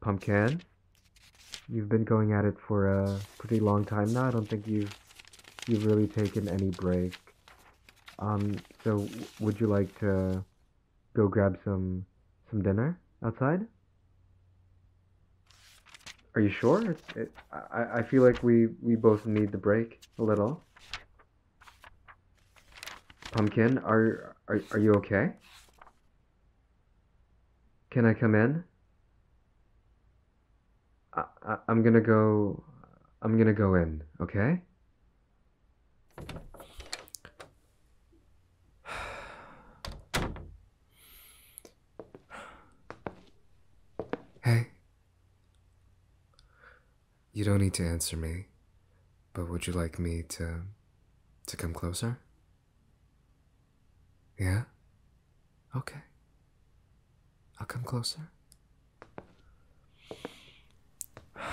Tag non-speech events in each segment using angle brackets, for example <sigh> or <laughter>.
Pumpkin, you've been going at it for a pretty long time now. I don't think you've you've really taken any break. Um, so would you like to go grab some some dinner outside? Are you sure? I I feel like we we both need the break a little. Pumpkin, are, are, are you okay? Can I come in? I, I, I'm gonna go, I'm gonna go in, okay? <sighs> Hey. You don't need to answer me, but would you like me to to come closer? Yeah? Okay. I'll come closer. <sighs>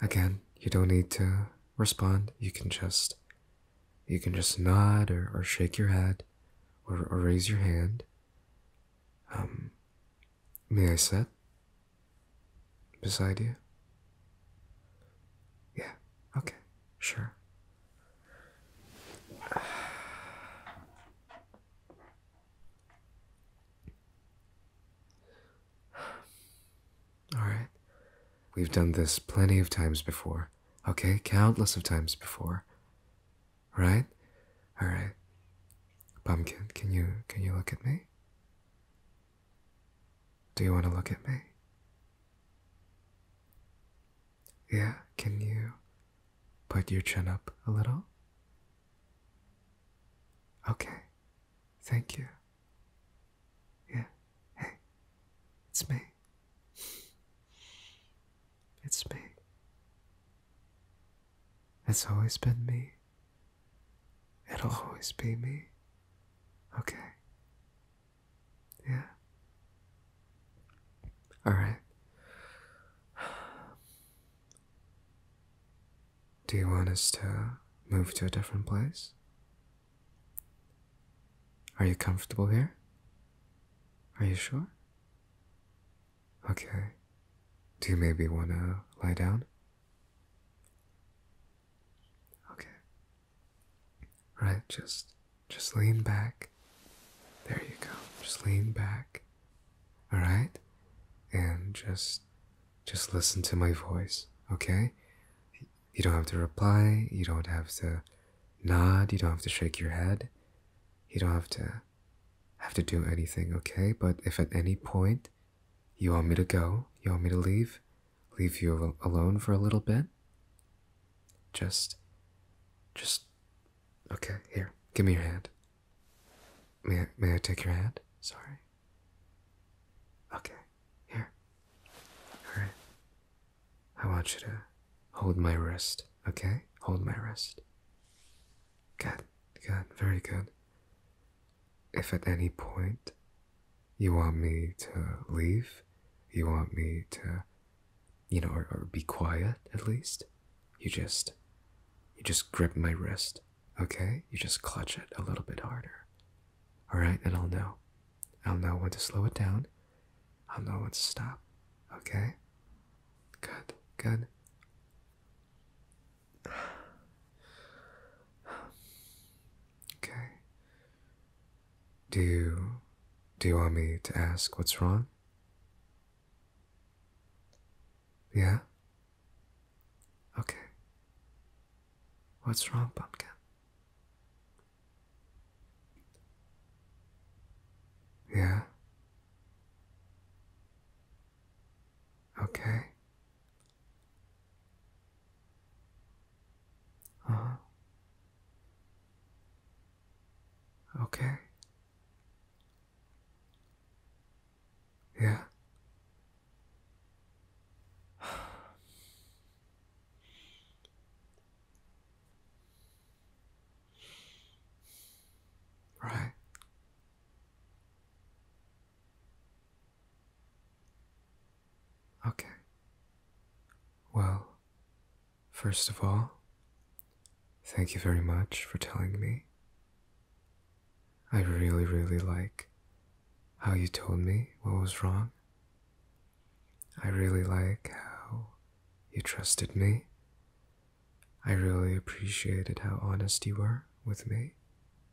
Again, you don't need to respond. You can just you can just nod or, or shake your head or, or raise your hand. Um, May I sit beside you? Yeah, okay, sure. All right. We've done this plenty of times before. Okay, countless of times before. Right? Alright. Pumpkin, can you can you look at me? Do you want to look at me? Yeah, can you put your chin up a little? Okay. Thank you. Yeah. Hey. It's me. It's me. It's always been me. It'll always be me. Okay. Yeah. All right. Do you want us to move to a different place? Are you comfortable here? Are you sure? Okay. Do you maybe want to lie down? Okay. All right, just just lean back. There you go. Just lean back. All right? And just just listen to my voice, okay? You don't have to reply, you don't have to nod, you don't have to shake your head. You don't have to have to do anything, okay? But if at any point you want me to go, you want me to leave, leave you alone for a little bit, just, just, okay, here, give me your hand. May I, may I take your hand? Sorry. Okay, here. Alright. I want you to hold my wrist, okay? Hold my wrist. Good, good, very good. If at any point you want me to leave, you want me to, you know, or, or be quiet at least, you just, you just grip my wrist, okay? You just clutch it a little bit harder, all right? then I'll know. I'll know when to slow it down. I'll know when to stop, okay? Good, good. Okay. Do you do you want me to ask what's wrong? Yeah? Okay. What's wrong, pumpkin? Yeah? Okay. Uh Okay. Yeah. Right. Okay. Well, first of all, thank you very much for telling me. I really, really like how you told me what was wrong. I really like how you trusted me I really appreciated how honest you were with me,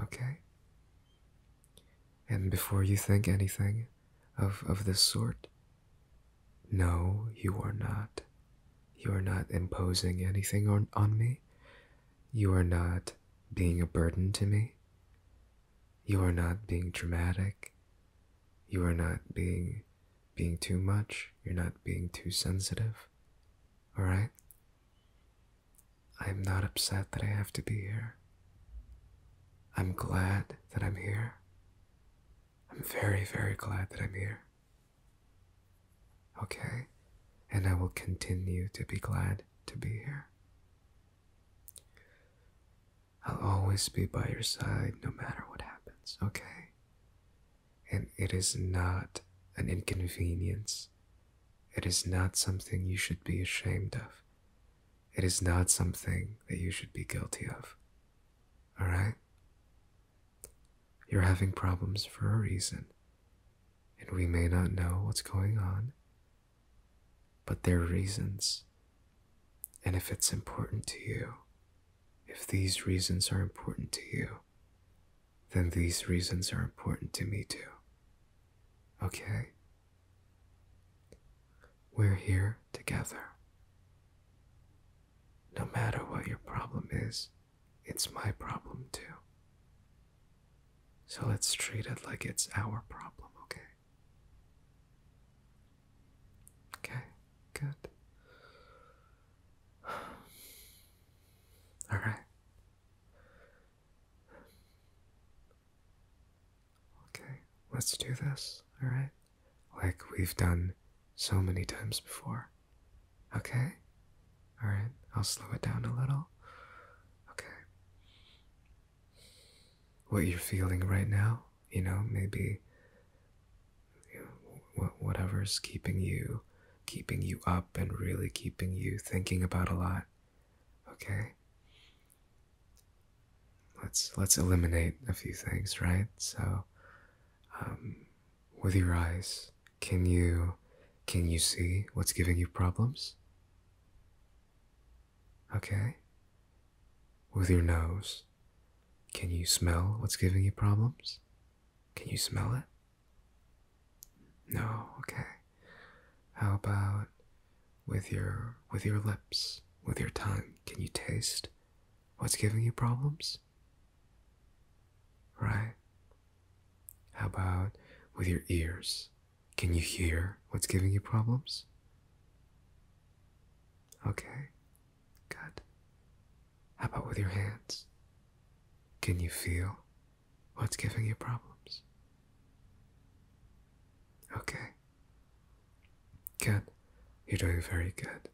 okay? And before you think anything of, of this sort, no, you are not. You are not imposing anything on, on me. You are not being a burden to me. You are not being dramatic. You are not being being too much, you're not being too sensitive. Alright? I'm not upset that I have to be here. I'm glad that I'm here. I'm very, very glad that I'm here. Okay? And I will continue to be glad to be here. I'll always be by your side no matter what happens, okay? and it is not an inconvenience. It is not something you should be ashamed of. It is not something that you should be guilty of. Alright? You're having problems for a reason, and we may not know what's going on, but there are reasons. And if it's important to you, if these reasons are important to you, then these reasons are important to me too. Okay? We're here together. No matter what your problem is, it's my problem too. So let's treat it like it's our problem, okay? Okay, good. <sighs> All right. Okay, let's do this, alright? Like we've done so many times before. Okay? Alright, I'll slow it down a little. Okay. What you're feeling right now, you know, maybe whatever's keeping you keeping you up and really keeping you thinking about a lot okay let's let's eliminate a few things right so um, with your eyes can you can you see what's giving you problems okay with your nose can you smell what's giving you problems can you smell it? No, okay. How about with your with your lips, with your tongue? Can you taste what's giving you problems? Right? How about with your ears? Can you hear what's giving you problems? Okay. Good. How about with your hands? Can you feel what's giving you problems? Okay. Good. You're doing very good.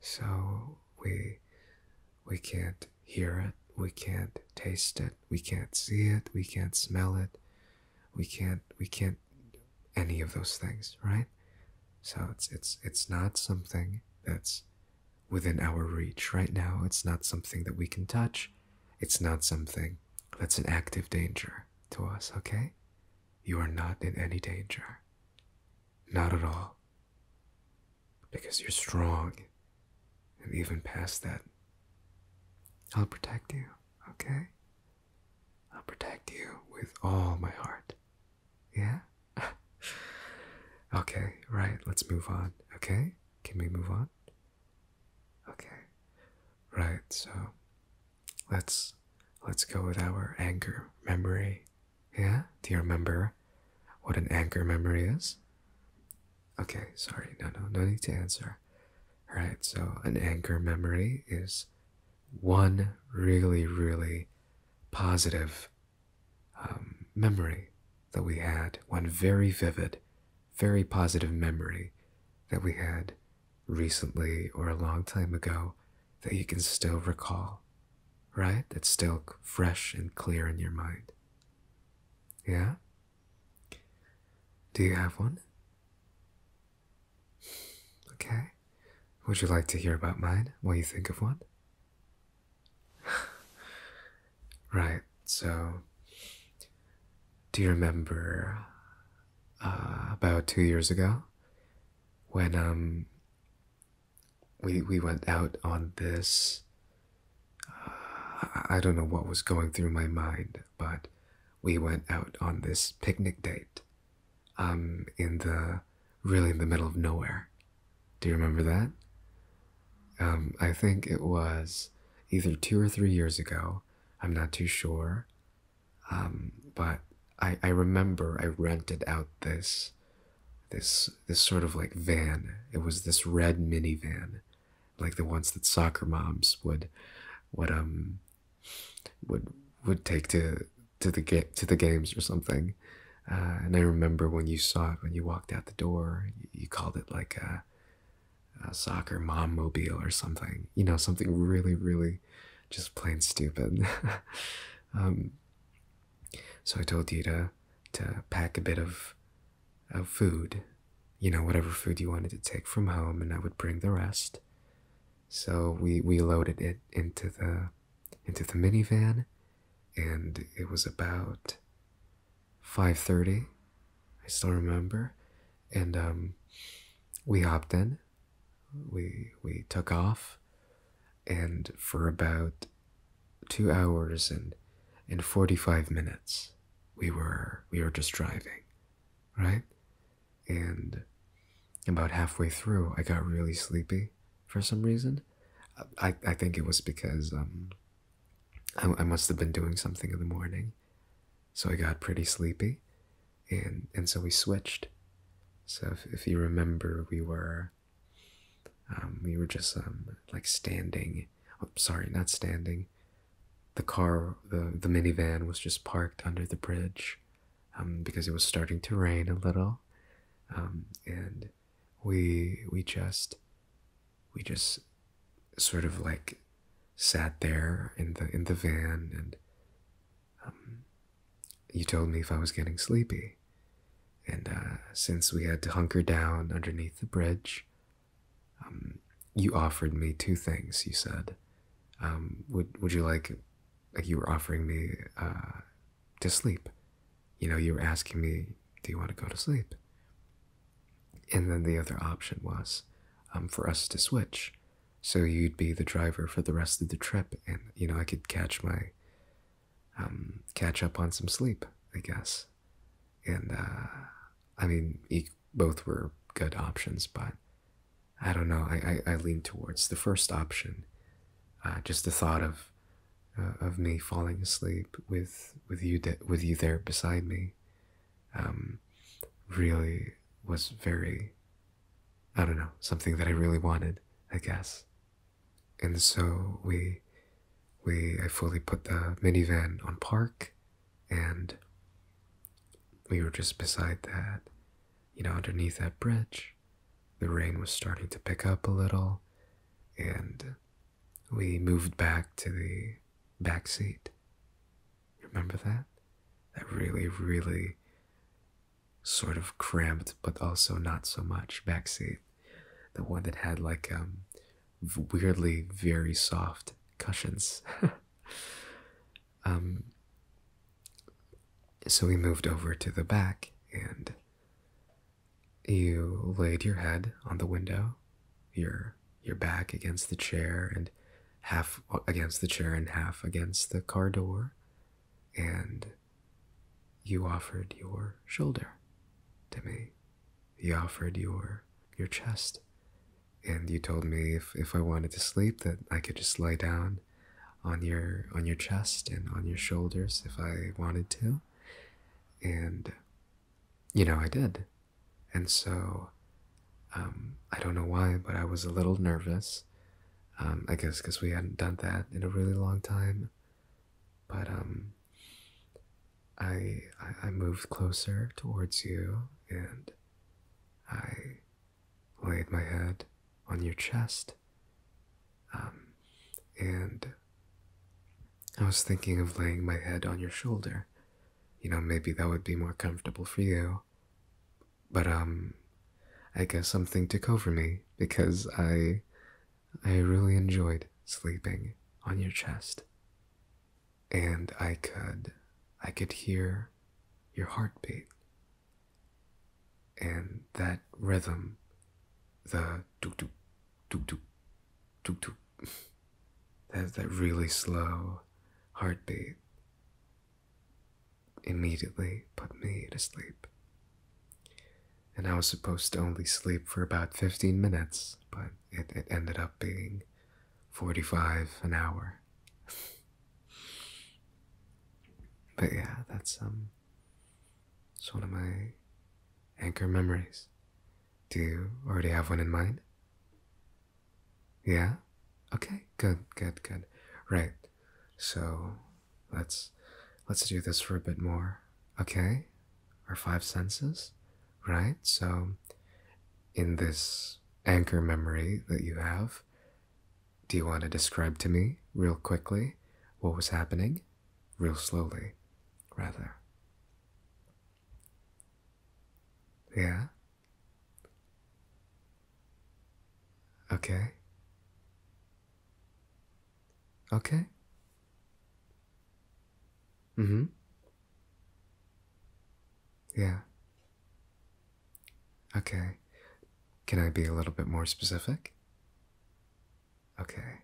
So we we can't hear it, we can't taste it, we can't see it, we can't smell it, we can't we can't any of those things, right? So it's it's it's not something that's within our reach right now. It's not something that we can touch. It's not something that's an active danger to us, okay? You are not in any danger. Not at all. Because you're strong. And even past that, I'll protect you, okay? I'll protect you with all my heart. Yeah? <laughs> okay, right, let's move on. Okay? Can we move on? Okay. Right, so let's let's go with our anchor memory. Yeah? Do you remember what an anchor memory is? Okay, sorry, no no, no need to answer. Alright, so an anchor memory is one really, really positive um, memory that we had, one very vivid, very positive memory that we had recently or a long time ago that you can still recall, right? That's still fresh and clear in your mind. Yeah? Do you have one? Okay. Would you like to hear about mine while you think of one? <laughs> right, so do you remember uh, about two years ago when um we we went out on this uh, I don't know what was going through my mind, but we went out on this picnic date I'm um, in the really in the middle of nowhere. Do you remember that? Um, I think it was either two or three years ago. I'm not too sure. Um, but I, I remember I rented out this this this sort of like van. It was this red minivan, like the ones that soccer moms would would um would would take to to the ga- to the games or something. Uh, and I remember when you saw it when you walked out the door, you, called it like a, soccer mom mobile or something. You know, something really, really, just plain stupid. <laughs> Um, so I told you to to pack a bit of of food, you know, whatever food you wanted to take from home, and I would bring the rest. So we, we loaded it into the into the minivan and it was about 5.30 i still remember and um, we hopped in we we took off and for about two hours and and 45 minutes we were we were just driving right and about halfway through, I got really sleepy for some reason. I, I think it was because um, I, I must have been doing something in the morning. So I got pretty sleepy, and, and so we switched. So if, if you remember, we were um, we were just um, like standing. Oh, sorry, not standing. The car, the the minivan was just parked under the bridge, um, because it was starting to rain a little, um, and we we just we just sort of like sat there in the in the van and um, you told me if I was getting sleepy. And uh, since we had to hunker down underneath the bridge, um, you offered me two things. You said, um, "Would would you like like you were offering me uh, to sleep. You know, you were asking me, do you want to go to sleep? And then the other option was um, for us to switch. So you'd be the driver for the rest of the trip, and you know I could catch my, um, catch up on some sleep, I guess. And uh, I mean, both were good options, but I don't know. I, I, I lean towards the first option. Uh, just the thought of uh, of me falling asleep with with you with you there beside me, um, really was very. I don't know something that I really wanted. I guess, and so we we I fully put the minivan on park, and we were just beside that you know, underneath that bridge, the rain was starting to pick up a little, and we moved back to the back seat. Remember that? That really, really sort of cramped, but also not so much back seat. The one that had like um, weirdly very soft cushions. <laughs> Um, so we moved over to the back, and you laid your head on the window, your your back against the chair, and half against the chair and half against the car door, and you offered your shoulder to me. You offered your your chest, and you told me if if I wanted to sleep that I could just lie down on your on your chest and on your shoulders if I wanted to. And you know, I did. And so um, I don't know why, but I was a little nervous. Um, I guess because we hadn't done that in a really long time. But um, I I moved closer towards you, and I laid my head on your chest. Um, and I was thinking of laying my head on your shoulder. You know, maybe that would be more comfortable for you. But, um, I guess something took over me because I, I really enjoyed sleeping on your chest. And I could, I could hear your heartbeat and that rhythm, the tuk tuk tuk tuk tuk tuk, that, that really slow heartbeat immediately put me to sleep. And I was supposed to only sleep for about 15 minutes, but it, it ended up being 45 an hour but yeah, that's um it's one of my anchor memories. Do you already have one in mind? Yeah? Okay, good, good, good. Right. So let's let's do this for a bit more. Okay? Our five senses? Right? So in this anchor memory that you have, do you want to describe to me, real quickly, what was happening? Real slowly, rather. Yeah? Okay. Okay. Mm hmm. Yeah. Okay. Can I be a little bit more specific? Okay.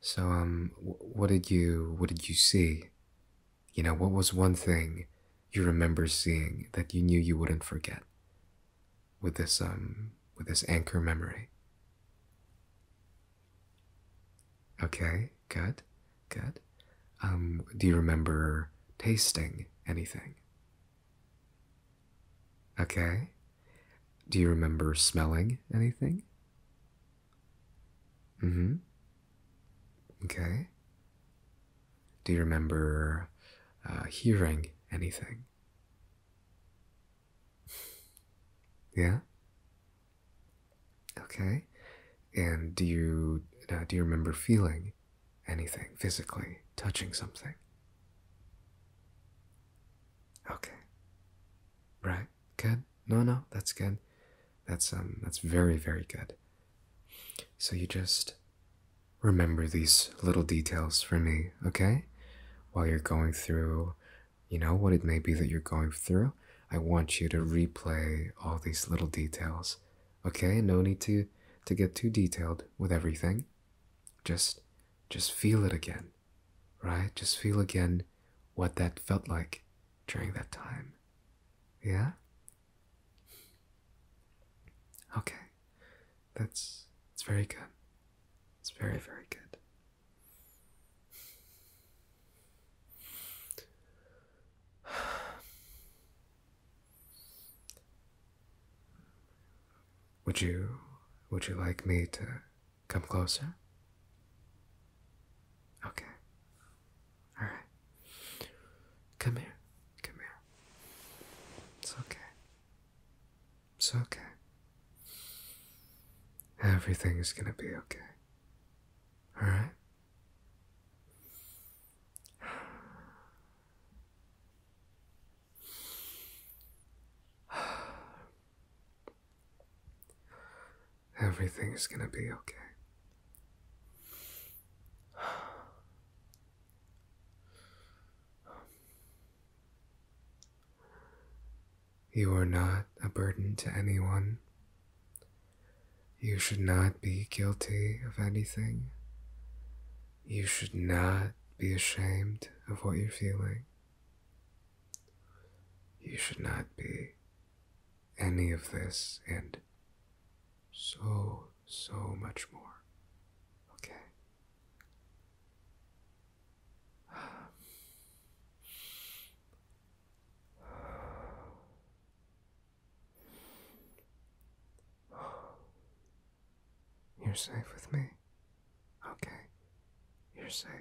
So um what did you what did you see? You know, what was one thing you remember seeing that you knew you wouldn't forget with this um with this anchor memory? Okay, good. Good. Um, do you remember tasting anything? Okay. Do you remember smelling anything? Mm hmm. Okay. Do you remember uh, hearing anything? Yeah. Okay. And do you uh, do you remember feeling anything physically, touching something. Okay. Right? Good? No, no, that's good. That's um that's very, very good. So you just remember these little details for me, okay? While you're going through, you know, what it may be that you're going through, I want you to replay all these little details Okay, no need to to get too detailed with everything. Just just feel it again. Right? Just feel again what that felt like during that time. Yeah? Okay. That's it's very good. It's very, very good. <sighs> Would you would you like me to come closer? Okay. All right. Come here. Come here. It's okay. It's okay. Everything is going to be okay. All right? Everything is going to be okay. You are not a burden to anyone. You should not be guilty of anything. You should not be ashamed of what you're feeling. You should not be any of this and so, so much more. Okay? <sighs> You're safe with me. Okay. You're safe.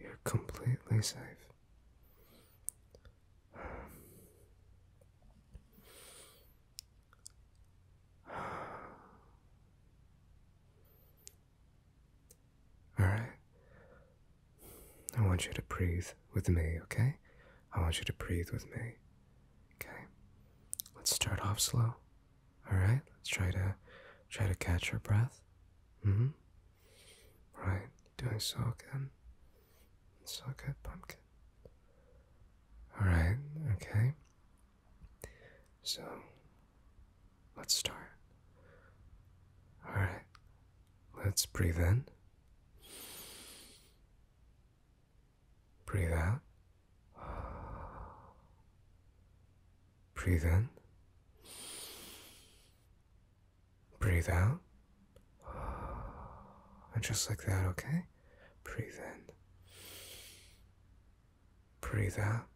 You're completely safe. <sighs> Alright. I want you to breathe with me, okay? I want you to breathe with me. Okay. Let's start off slow. Alright? Let's try to try to catch your breath. Mm-hmm. Right. Doing so good. So good, pumpkin. Alright, okay. So let's start. Alright. Let's breathe in. Breathe out. Breathe in. Breathe out. And just like that, okay? Breathe in. Breathe out.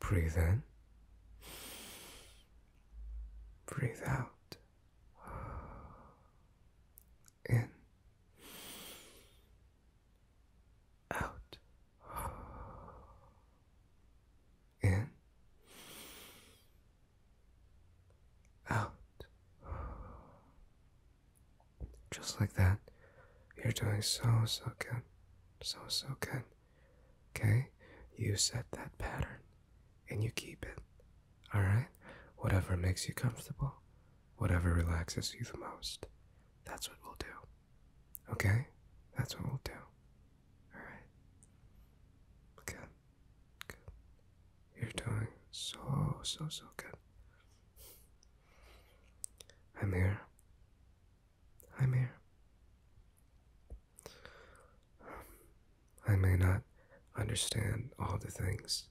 Breathe in. Breathe out. In. Out. In. Out. Just like that. You're doing so, so good. So, so good. Okay? You set that pattern and you keep it. Alright? Whatever makes you comfortable, whatever relaxes you the most, that's what we'll do. Okay? That's what we'll do. Alright? Good. Good. You're doing so, so, so good. I'm here. I'm here. I may not understand all the things,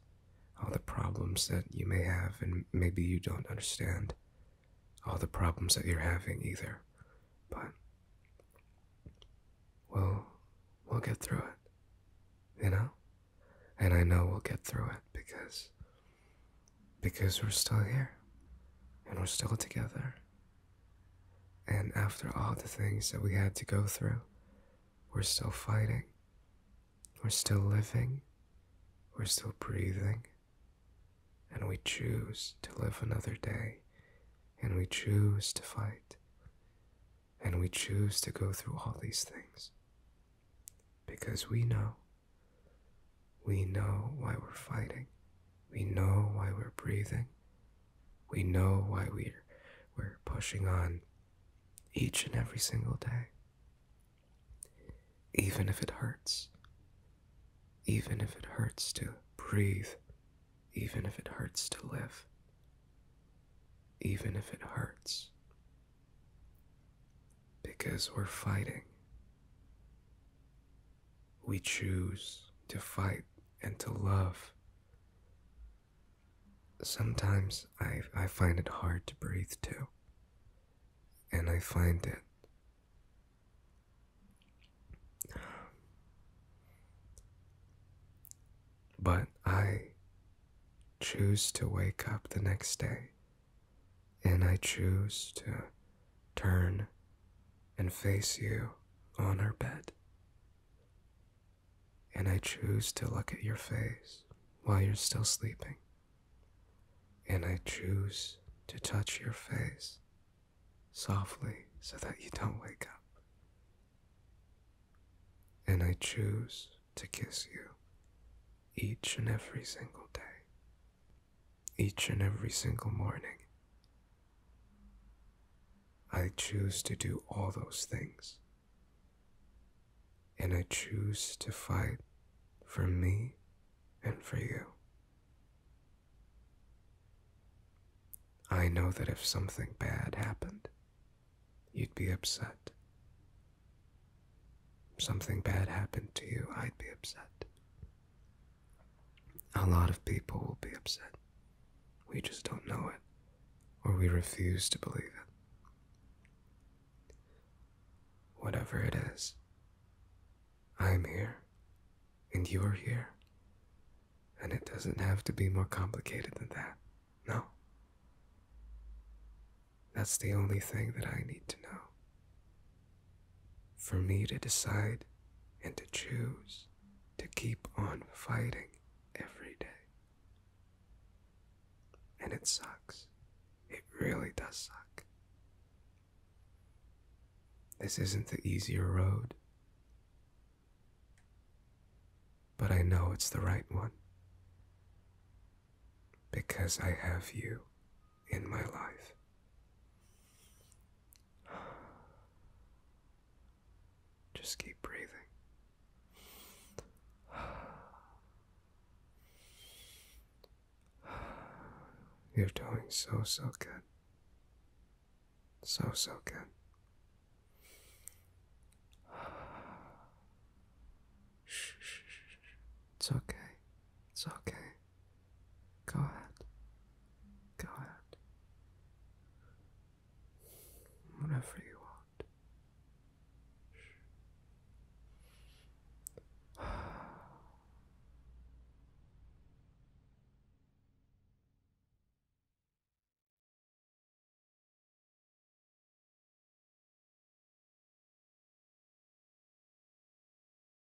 all the problems that you may have, and maybe you don't understand all the problems that you're having either, but we'll, we'll get through it, you know? And I know we'll get through it because, because we're still here, and we're still together, and after all the things that we had to go through, we're still fighting, we're still living, we're still breathing, and we choose to live another day, and we choose to fight, and we choose to go through all these things. Because we know, we know why we're fighting, we know why we're breathing. We know why we're, we're pushing on each and every single day. Even if it hurts. Even if it hurts to breathe. Even if it hurts to live. Even if it hurts. Because we're fighting we choose to fight and to love. Sometimes I, I find it hard to breathe too. And I find it but I choose to wake up the next day and I choose to turn and face you on her bed. And I choose to look at your face while you're still sleeping. And I choose to touch your face softly so that you don't wake up. And I choose to kiss you each and every single day, each and every single morning, I choose to do all those things. And I choose to fight for me and for you. I know that if something bad happened, you'd be upset. If something bad happened to you, I'd be upset. A lot of people will be upset. We just don't know it, or we refuse to believe it. Whatever it is, I'm here, and you're here, and it doesn't have to be more complicated than that, no? That's the only thing that I need to know. For me to decide and to choose to keep on fighting every day. And it sucks. It really does suck. This isn't the easier road, but I know it's the right one because I have you in my life. Just keep breathing. You're doing so, so good. So, so good. It's okay. It's okay. Go ahead. Go ahead. Whatever you want.